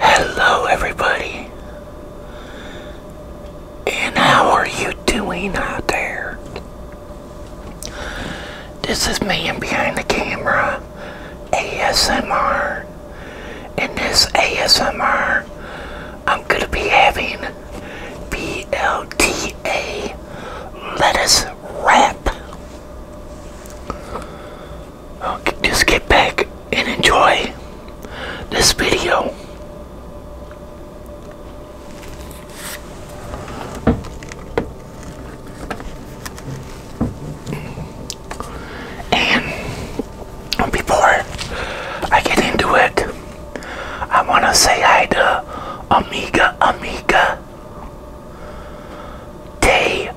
Hello, everybody, and how are you doing out there? This is man behind the camera ASMR, In this ASMR I'm gonna be having BLTA lettuce wrap. Okay, just get back and enjoy this video. And before I get into it, I want to say hi to Amiga Amiga Day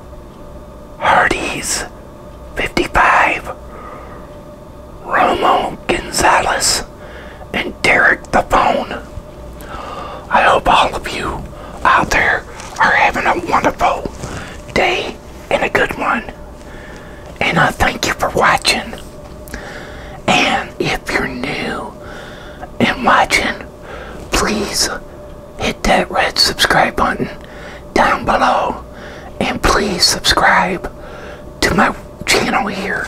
Hardee's 55, Romo Gonzalez, and Derek the Phone. I hope all of you out there are having a wonderful day and a good one. And I thank you for watching. And if you're new and watching, please hit that red subscribe button down below and please subscribe to my channel here.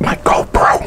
my GoPro.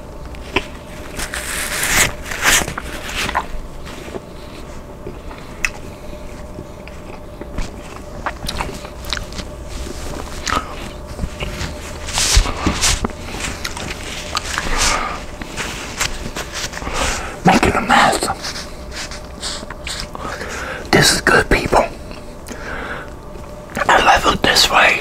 Making a mess. This is good, people. I love it this way.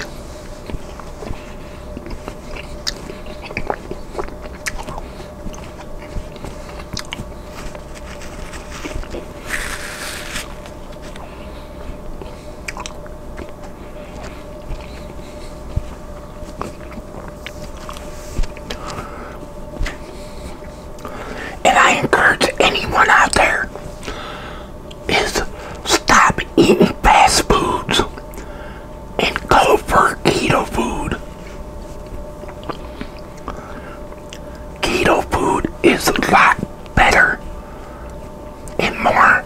And I encourage anyone out there is stop eating fast foods and go for keto food. Keto food is a lot better and more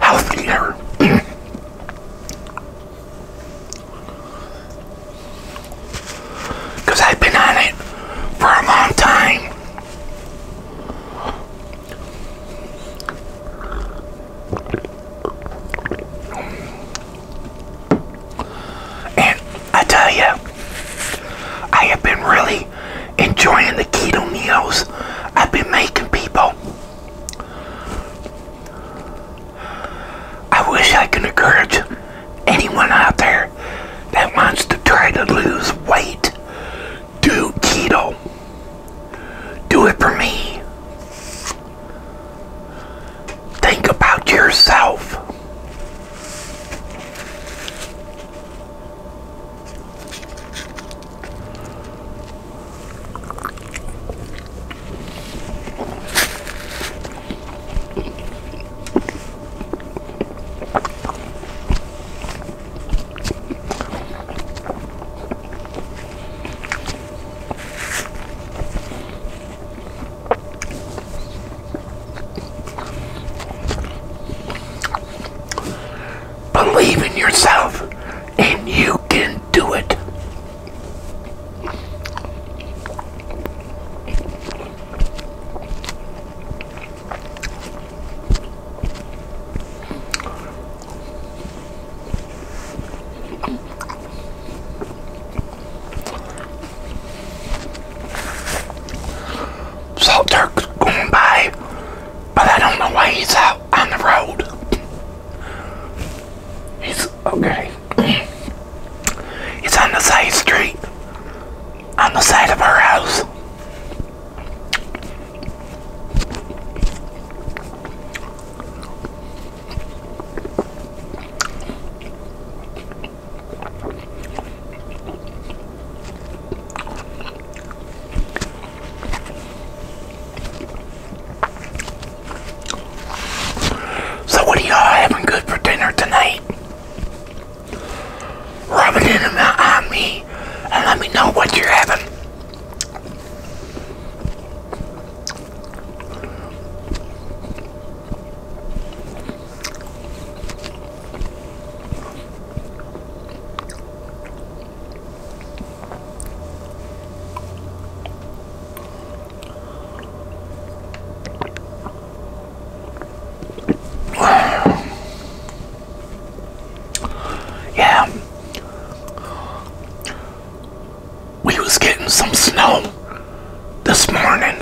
healthier. Because I've been on it for a long time. And I tell you, I have been really enjoying the keto meals I've been making people. I wish I could encourage anyone out there that wants to try to lose weight do keto. Do it for me. Think about yourself. Believe in yourself and you can do it. Salt going by, but I don't know why he's out on the road. He's okay. he's on the side street on the side of our house. So what are y'all having good for dinner tonight? Rub it in on me and let me know what you're having. Yeah. We was getting some snow this morning.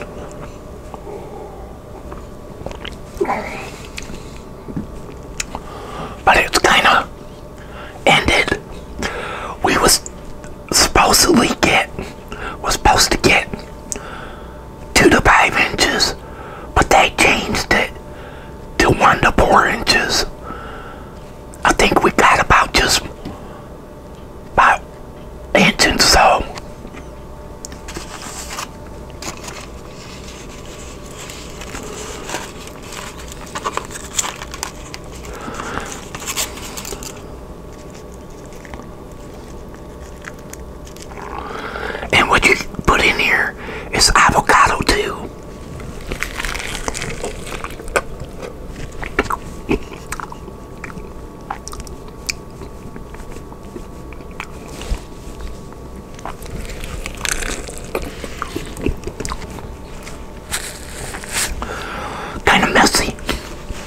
But it's kind of ended. We was supposed to get was supposed to get two to five inches, but they changed it to one to four inches. I think we got about just about inch so. And what you put in here is avocado too. kind of messy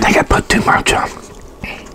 I think I put too much on.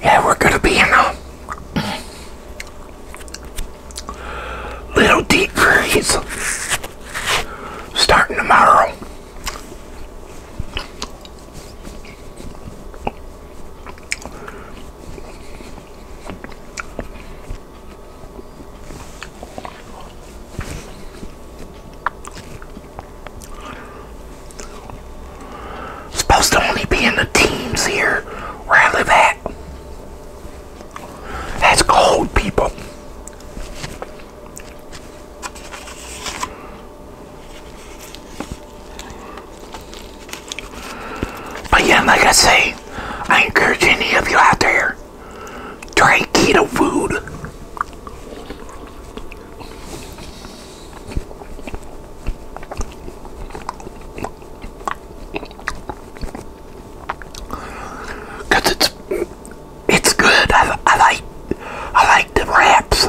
Yeah, we're gonna be in a Little deep freeze starting tomorrow. Supposed to only be in the teams here where I live at. That's cold, people. But yeah, like I say, I encourage any of you out there, try keto food. Cause it's it's good. I, I like I like the wraps.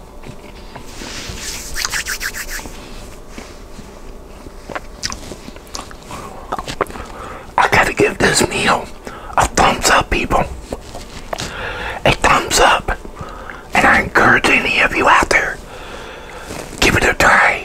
I gotta give this meal a thumbs up, people. A thumbs up. And I encourage any of you out there, give it a try.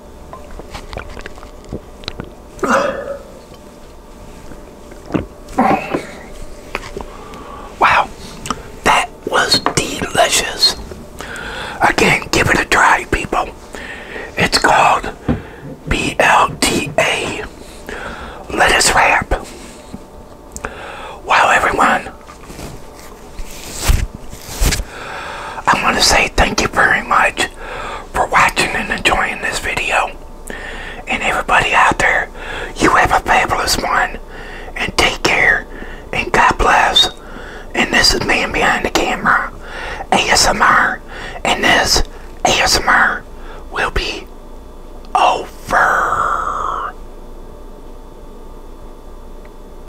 Wow, that was delicious. Again, give it a try, people. It's called BLTA lettuce wrap. Wow, everyone. I want to say thank you very much for watching and enjoying this video. And everybody out there, you have a fabulous one. And take care. And God bless. And this is Man Behind the Camera, ASMR. And this ASMR will be over.